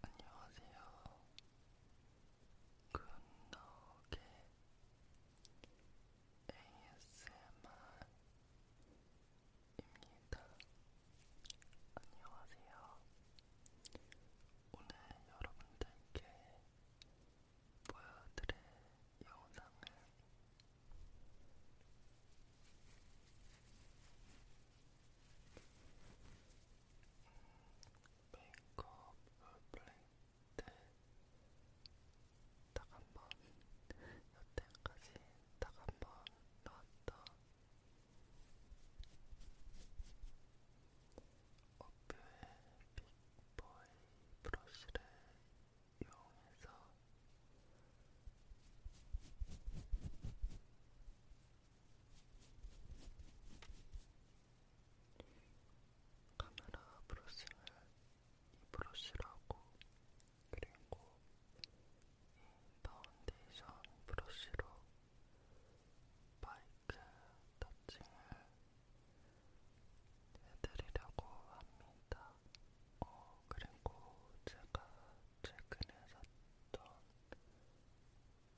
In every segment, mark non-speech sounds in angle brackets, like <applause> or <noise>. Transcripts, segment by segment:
안녕하세요. 굿노게 ASMR입니다. 안녕하세요. 오늘 여러분들께 보여드릴 영상을 메이크업 블랙 때딱한번 여태까지 딱한번 나왔던 어뷰의 빅보이 브러쉬를 이용해서 카메라 브러싱을 이 브러쉬라고 그리고 이 파운데이션 브러쉬로 마이크 터칭을 해드리려고 합니다. 어, 그리고 제가 최근에 샀던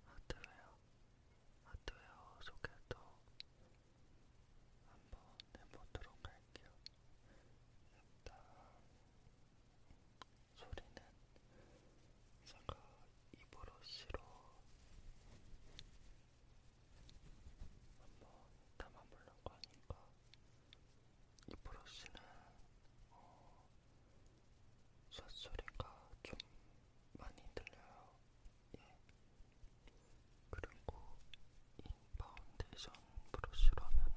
하드웨어, 하드웨어 소개도 한번 해보도록 할게요. 일단 소리는 제가 입으로시로 한번 담아보려고 하니까 이 브러쉬는 어, 샷소리가 좀 많이 들려요. 예. 그리고 이 파운데이션 브러쉬로 하면은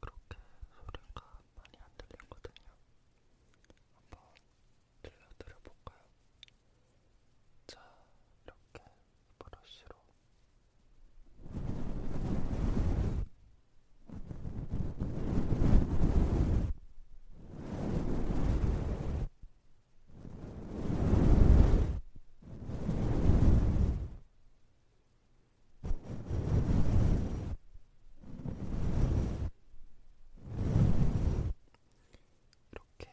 그렇게 소리가 많이 안 들리거든요. 한번 들려드려볼까요? 자, 이렇게 브러쉬로 이렇게 어,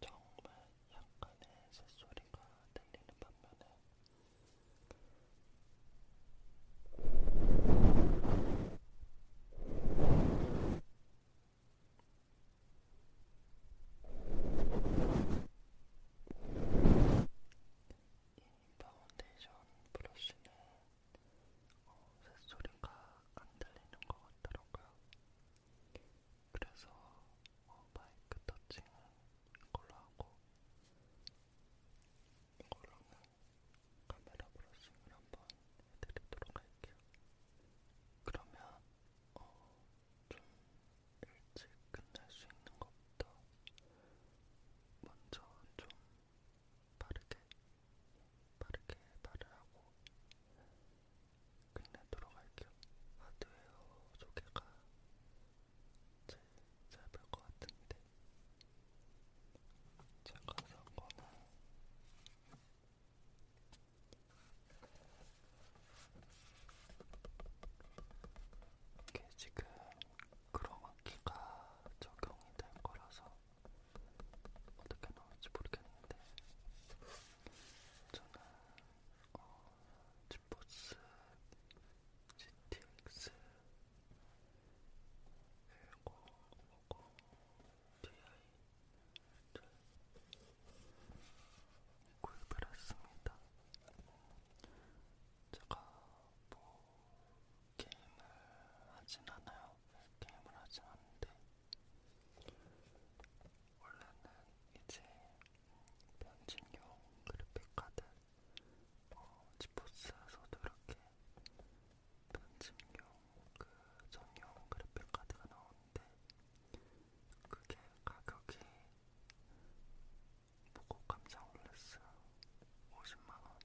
정말 약간의 새소리가 들리는 반면에 이 파운데이션 브러쉬는 어, 새소리가 안 들리는 것 같더라고요. 그래서 어, 마이크 터칭은 이걸로 하고 이걸로는 카메라 브러싱을 한번 해드리도록 할게요. 그러면 어, 좀 일찍 끝날 수 있는 것부터 먼저 좀 빠르게 빠르게 발을 하고 끝내도록 할게요. 하드웨어 소개가 제일 짧을 것 같은데 제가 산 거는 이게 지금 크로마키가 적용이 될 거라서 어떻게 나올지 모르겠는데 저는 어, 지포스, GTX, 그리고 뭐고, DI 잘 구입을 했습니다. 제가 뭐 게임을 하진 않아요. 게임을 하진 않는데 원래는 이제 변진용 그래픽카드 뭐 지포스에서도 이렇게 변진용 그 전용 그래픽카드가 나오는데 그게 가격이 보고 깜짝 놀랐어요. 50만원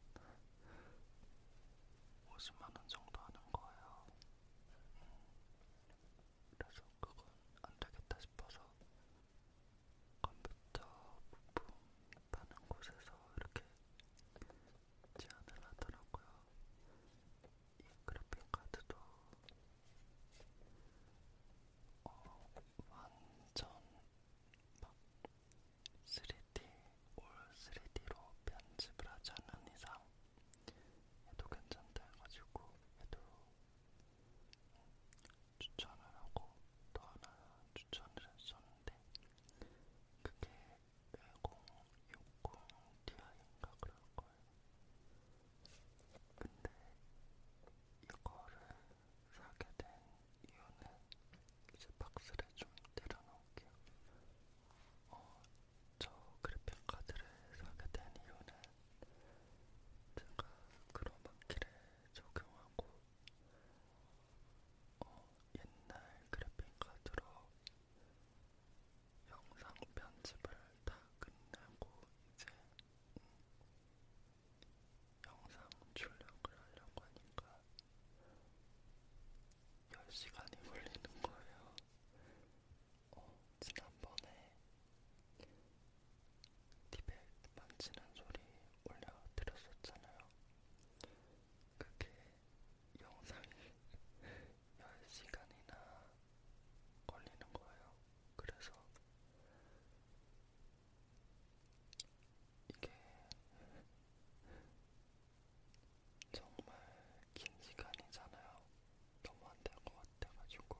50만원 정도 하는 거예요. 음. 그래서 그건 안되겠다 싶어서 컴퓨터 부품 파는 곳에서 이렇게 제안을 하더라고요. 이 그래픽 카드도 어, 완전 막 3D 올 3D로 편집을 하지 않는 이상 얘도 괜찮다 해가지고 얘도 추천을 하고 또 하나 추천을 했었는데 그게 1060ti인가 그럴거예요 근데 이거를 사게 된 이유는 이제 박스를 좀 내려놓을게요 어, 저 그래픽카드를 사게 된 이유는 제가 크로마키를 적용하고 어, 옛날 그래픽카드로 영상 편집을 다 끝내고 이제 음, 영상 출력을 하려고 하니까 10시간이 걸리는 거예요. 어, 지난번에 티백 만지는 소리 올려드렸었잖아요. 그게 영상이 10시간이나 <laughs> 걸리는 거예요. 그래서 이게 <laughs> 정말 긴 시간이잖아요. 너무 안 될 것 같아가지고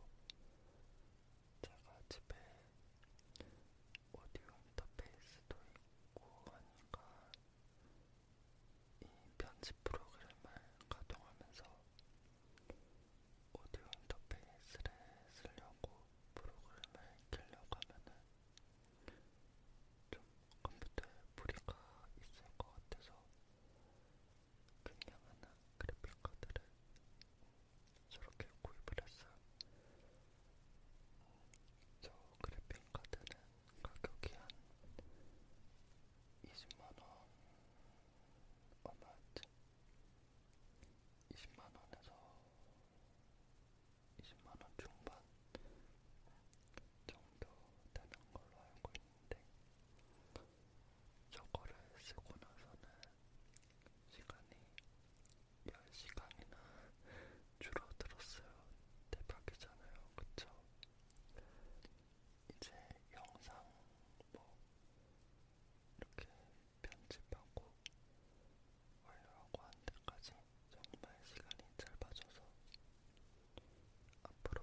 제가 집에 오디오 인터페이스도 있고 하니까 이 편집 프로그램을 가동하면서 오디오 인터페이스를 쓰려고 프로그램을 켜려고 하면은 좀 컴퓨터에 무리가 있을 것 같아서 그냥 하나 그래픽 카드를 저렇게 구입을 했어요. 저 그래픽 카드는 가격이 한 20만원 얼마였지? 20만원에서 20만원 중반 정도 되는 걸로 알고 있는데 저거를 쓰고 나서는 시간이 10시간이나 줄어들었어요. 대박이잖아요. 그쵸? 이제 영상 뭐 이렇게 편집하고 완료하고 한 데까지 정말 시간이 짧아져서 앞으로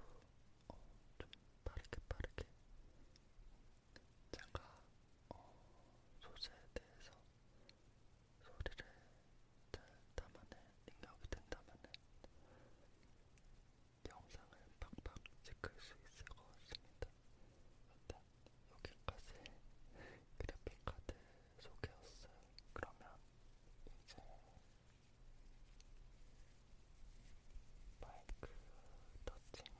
어, 좀 빠르게 빠르게 제가 어, 소재에 대해서 소리를 잘 담아낼 능력이 된다면 영상을 팍팍 찍을 수 있을 것 같습니다. 일단 여기까지 그래픽카드 소개였어요. 그러면 이제 마이크 터칭을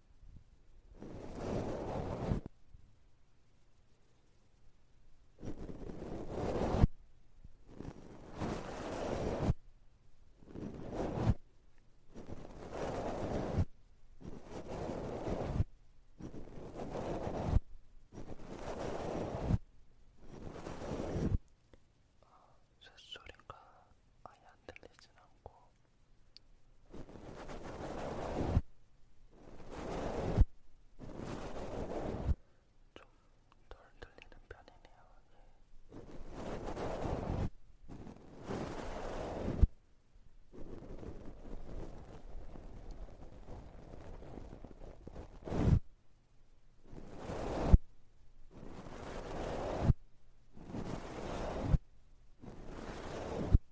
아, 쇳소리가 아예 안 들리진 않고 좀덜 들리는 편이네요.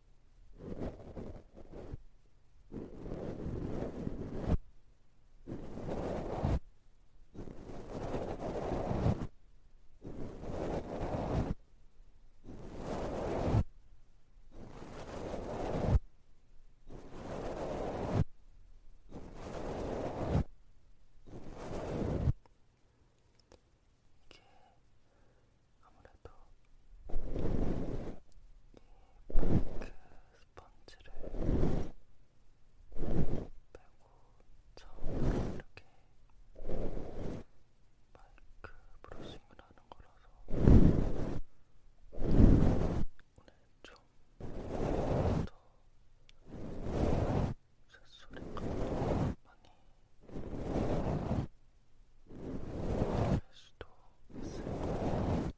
이렇게 아무래도 아무래도 이 밀크 그 스펀지를 빼고 처음으로 이렇게 마이크 브러싱을 하는 거라서 오늘 좀더 새소리가 많이 될 수도 있을 거예요.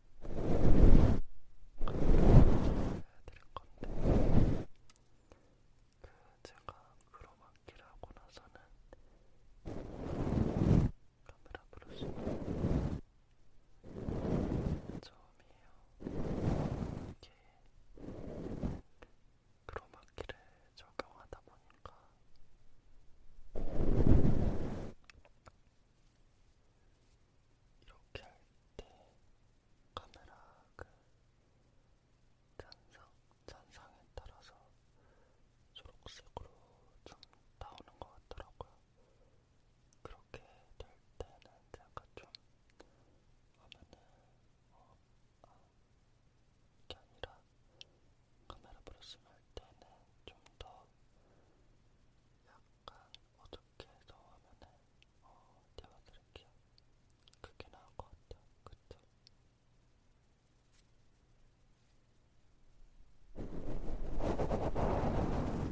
드릴 건데 그 제가 크로마키를 하고 나서는 카메라 브러쉬 처음이에요. 이게 크로마키를 적용하다 보니까. 이렇게 할 때 카메라 그 잔상, 잔상에 따라서 초록색으로 좀 나오는 것 같더라고요. 그렇게 될 때는 약간 좀 화면을 어, 아, 이게 아니라 카메라 브러싱 할 때는 좀 더 약간 어둡게 해서 화면을 어, 띄워드릴게요. 그게 나을 것 같아요. 그쵸? 아,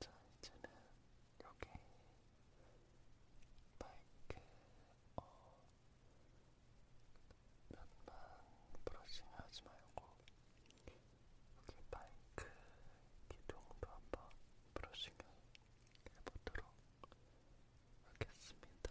자, 이제는 여기 밝게 어, 몇만 브러싱 하지 말고 여기 마이크 기둥도 한번 브러싱을 해보도록 하겠습니다.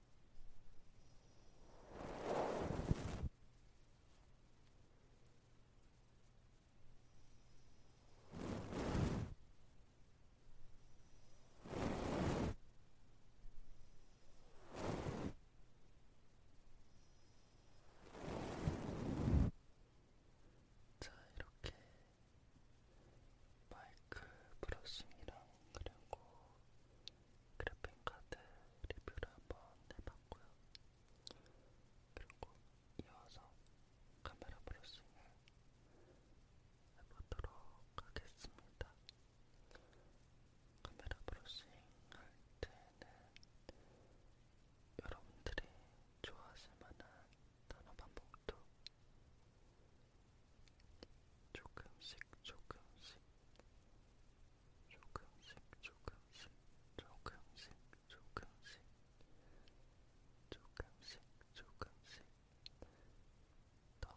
자, 이렇게 마이크 브러싱이랑 그리고 그래픽 카드 리뷰를 한번 해봤고요. 그리고 이어서 카메라 브러싱을 해보도록 하겠습니다. 카메라 브러싱 할 때는 여러분들이 좋아하실 만한 단어 반복도 조금씩 조금씩 조금씩 조금씩 조금씩 조금씩 조금씩 조금씩 넣어볼게요. 자,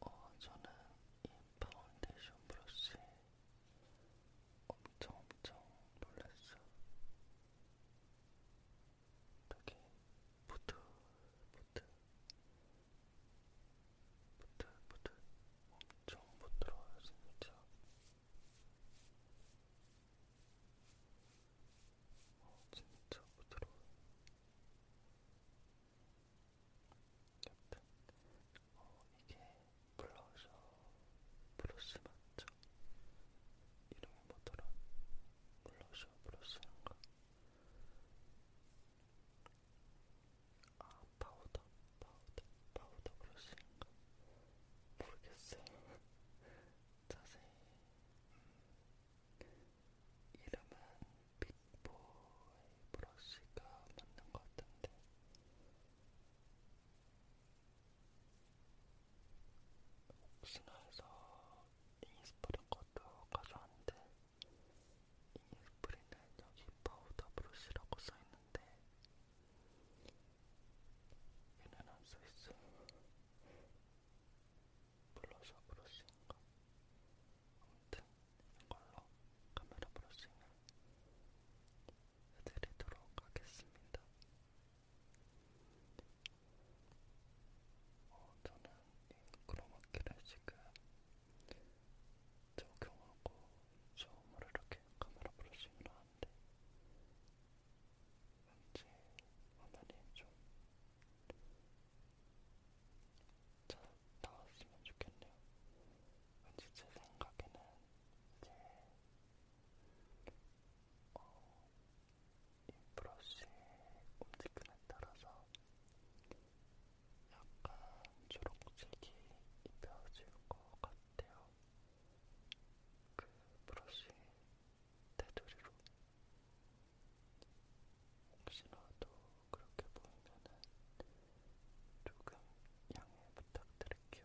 어, 저는 이 파운데이션 브러쉬 엄청 엄청 놀랐어. 여기 보트 보트 보트 보트 엄청 부드러워요 진짜 어, 진짜 부드러워요 여튼 어, 이게 블러셔 블러쉬 맞죠? 이름이 뭐더라? 블러셔 브러쉬는 거. 아, 파우더, 파우더, 파우더 브러쉬인가? 모르겠어요. <laughs> 자세히. 음, 이름은 빅보이 브러쉬가 맞는 것 같은데. 혹시나 해서 이니스프린 것도 가져왔는데 이니스프린은 여기 파우더 브러쉬라고 써있는데 얘는 안 써있어요. 블러셔 브러쉬인가? 아무튼 이걸로 카메라 브러싱을 해드리도록 하겠습니다. 어, 저는 크로마키를 지금 적용하고 처음으로 이렇게 카메라 브러싱을 하는데 왠지 화면이 좀 잘 나왔으면 좋겠네요. 왠지 제 생각에는 이제 어, 이 브러쉬 움직임에 따라서 약간 초록색이 입혀질 것 같아요. 그 브러쉬 테두리로 혹시라도 그렇게 보이면은 조금 양해 부탁드릴게요.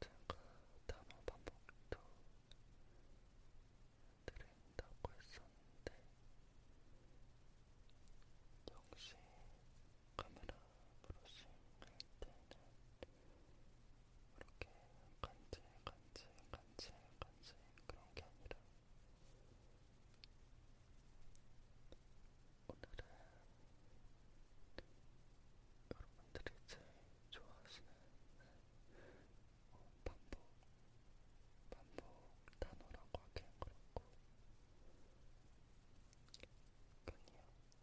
제가 단어 반복도 드린다고 했었는데 역시 카메라 브러싱 할 때는 이렇게 간질, 간질, 간질, 간질 그런 게 아니라 오늘은 여러분들이 제일 좋아하시는 어, 반복, 반복 단어라고 하기엔 그렇고 그냥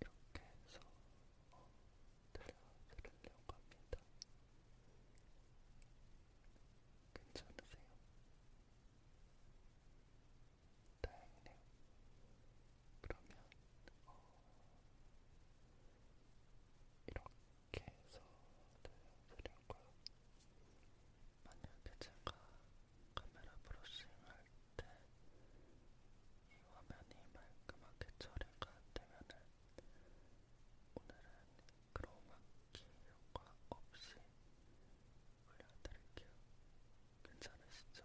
이렇게 해서 어, 들려드리려고 합니다. 괜찮으세요? 다행이네요. 그러면 어, 이렇게 해서 들려드리고요. 만약에 제가 카메라 브러싱을 할때 이 화면이 말끔하게 처리가 되면은 오늘은 크로마키 효과 없이 올려드릴게요. 괜찮으시죠?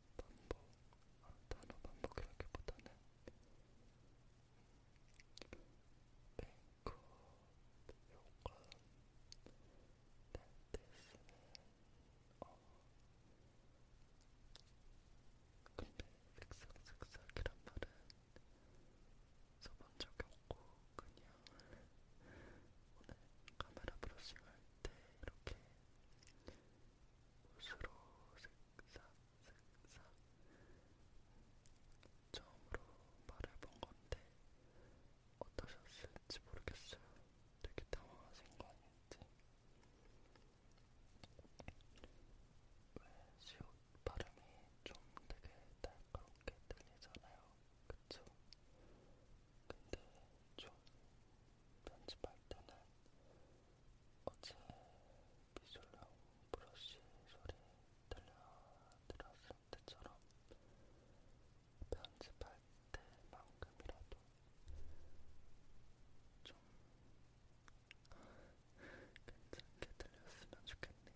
반복, 아, 단어 반복이라기보다는 뱅크업 효과 댄스는 어 근데 슥싹슥싹이란 말은 써본 적이 없고 그냥 오늘 카메라 브러싱 할때 이렇게 옷으로 슥싹슥싹 처음으로 말해본 건데 어떠셨을지 모르겠어요. 되게 당황하신 거 아닌지. 왜 시옷 발음이 좀 되게 날카롭게 들리잖아요. 그쵸? 근데 좀 편집할 때는 어제 미술용 브러쉬 소리 들려드렸을 때처럼 편집할 때만큼이라도 좀 괜찮게 들렸으면 좋겠네요.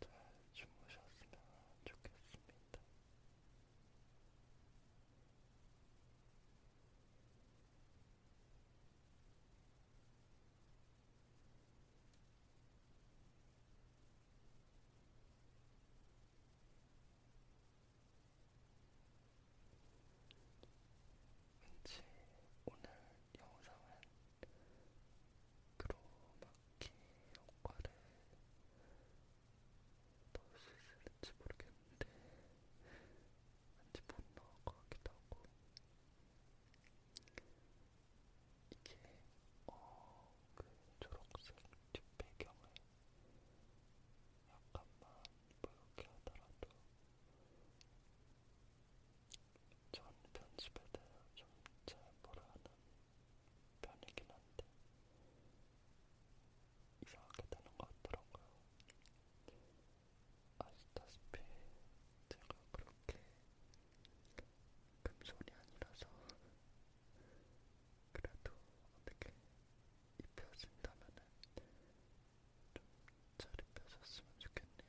잘 주무셨으면 좋겠습니다. 왠지 오늘 영상은 크로마키 효과를 넣을 수 있을지 모르겠는데 왠지 못 넣을 것 같기도 하고 이게 어, 그 초록색 뒷배경을 약간만 보이게 하더라도 전 편집에 대해 좀 잘 모르는 편이긴 한데 이상하게 되는 것 같더라고요. 아시다시피 제가 그렇게 금손이 아니라서 그래도 어떻게 입혀진다면은 좀잘 입혀졌으면 좋겠네요.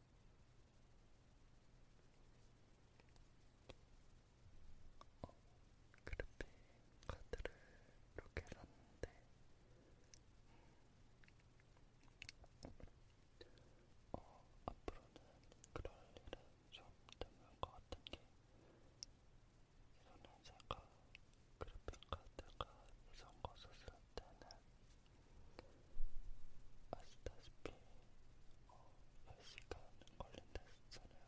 어, 그래픽 카드를 이렇게 샀는데 어, 앞으로는 그럴 일은 좀 드물 것 같은 게 저는 제가 그래픽 카드가 이런 거 썼을 때는 아시다시피 어, 10시간 걸린다 했잖아요.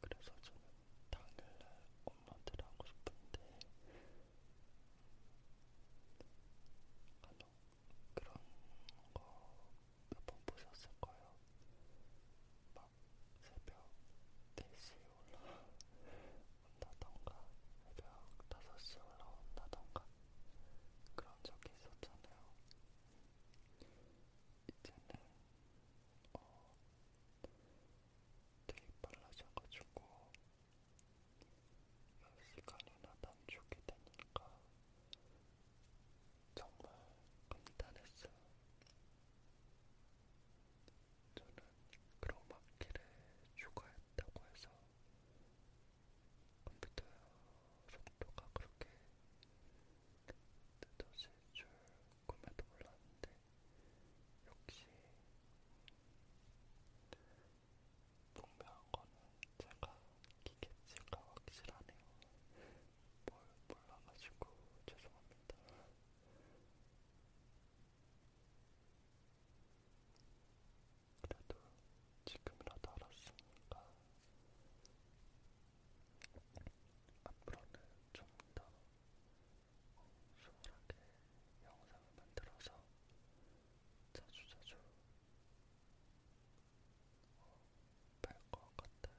그래서 저는 당일날 엄마한테 하고 싶은데 아니 그런 거 몇 번 보셨을 거예요. 막 새벽 4시에 올라온다던가 새벽 5시에 올라온다던가 그런 적이 있었잖아요. 이제는 어, 되게 빨라져가지고 10시간이나 단축이 되니까 정말 감탄했어요. 저는 크로마키를 추가했다고 해서 컴퓨터 속도가 그렇게 늦어질 줄 꿈에도 몰랐는데 역시 분명한 거는 제가 기계치가 확실하네요. 뭘 몰라가지고 죄송합니다. 그래도 지금이라도 알았으니까 앞으로는 좀 더 수월하게 영상을 만들어서 자주자주 어, 뵐것 같아요.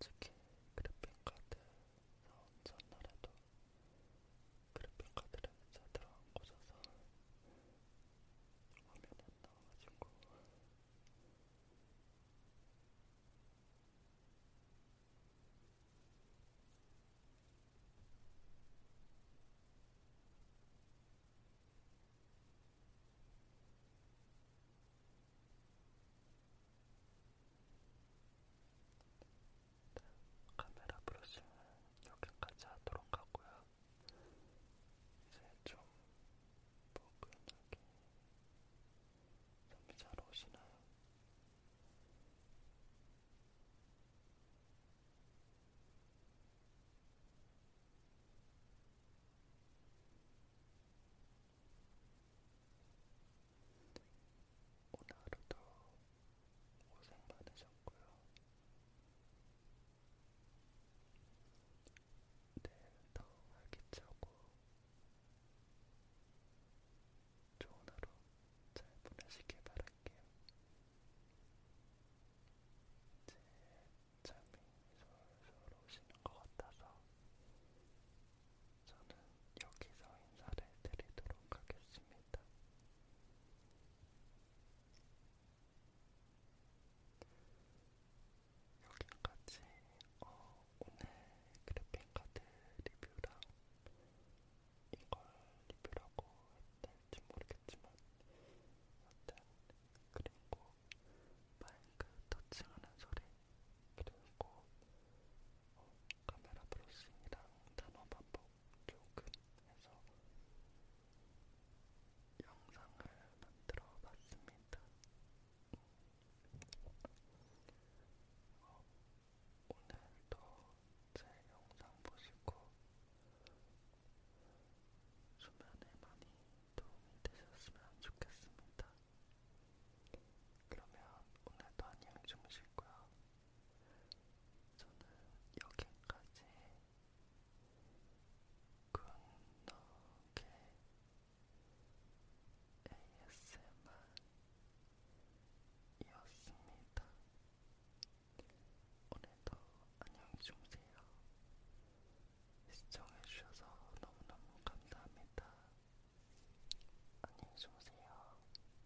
솔직히 그래픽 카드 전날에도 그래픽 카드를 제대로 안 꽂아서 화면이 안 나와가지고 카메라 브러싱은 여기까지 하도록 하고요. 이제 좀 포근하게 잠이 잘 오시나요? 오늘 하루도 고생 많으셨고요. 내일 더 활기차고 좋은 하루 잘 보내시길 바랄게요. 이제 잠이 솔솔 오시는 것 같아서 저는 여기서 인사를 드리도록 하겠습니다. 여기까지 어, 오늘 그래픽 카드 리뷰랑 이걸 리뷰라고 했을지 모르겠지만 여튼 그리고 마이크 터칭하는 소리 그리고 어, 카메라 브러싱이랑 단어 반복 조금 해서 영상을 만들어 봤습니다. 어, 오늘도 제 영상 보시고 수면에 많이 도움이 되셨으면 좋겠습니다. 그러면 오늘도 안녕히 주무시고요. 저는 여기까지 굿노게 ASMR이었습니다. 오늘도 안녕히 주무세요. 시청해주셔서 너무너무 감사합니다. 안녕히 주무세요.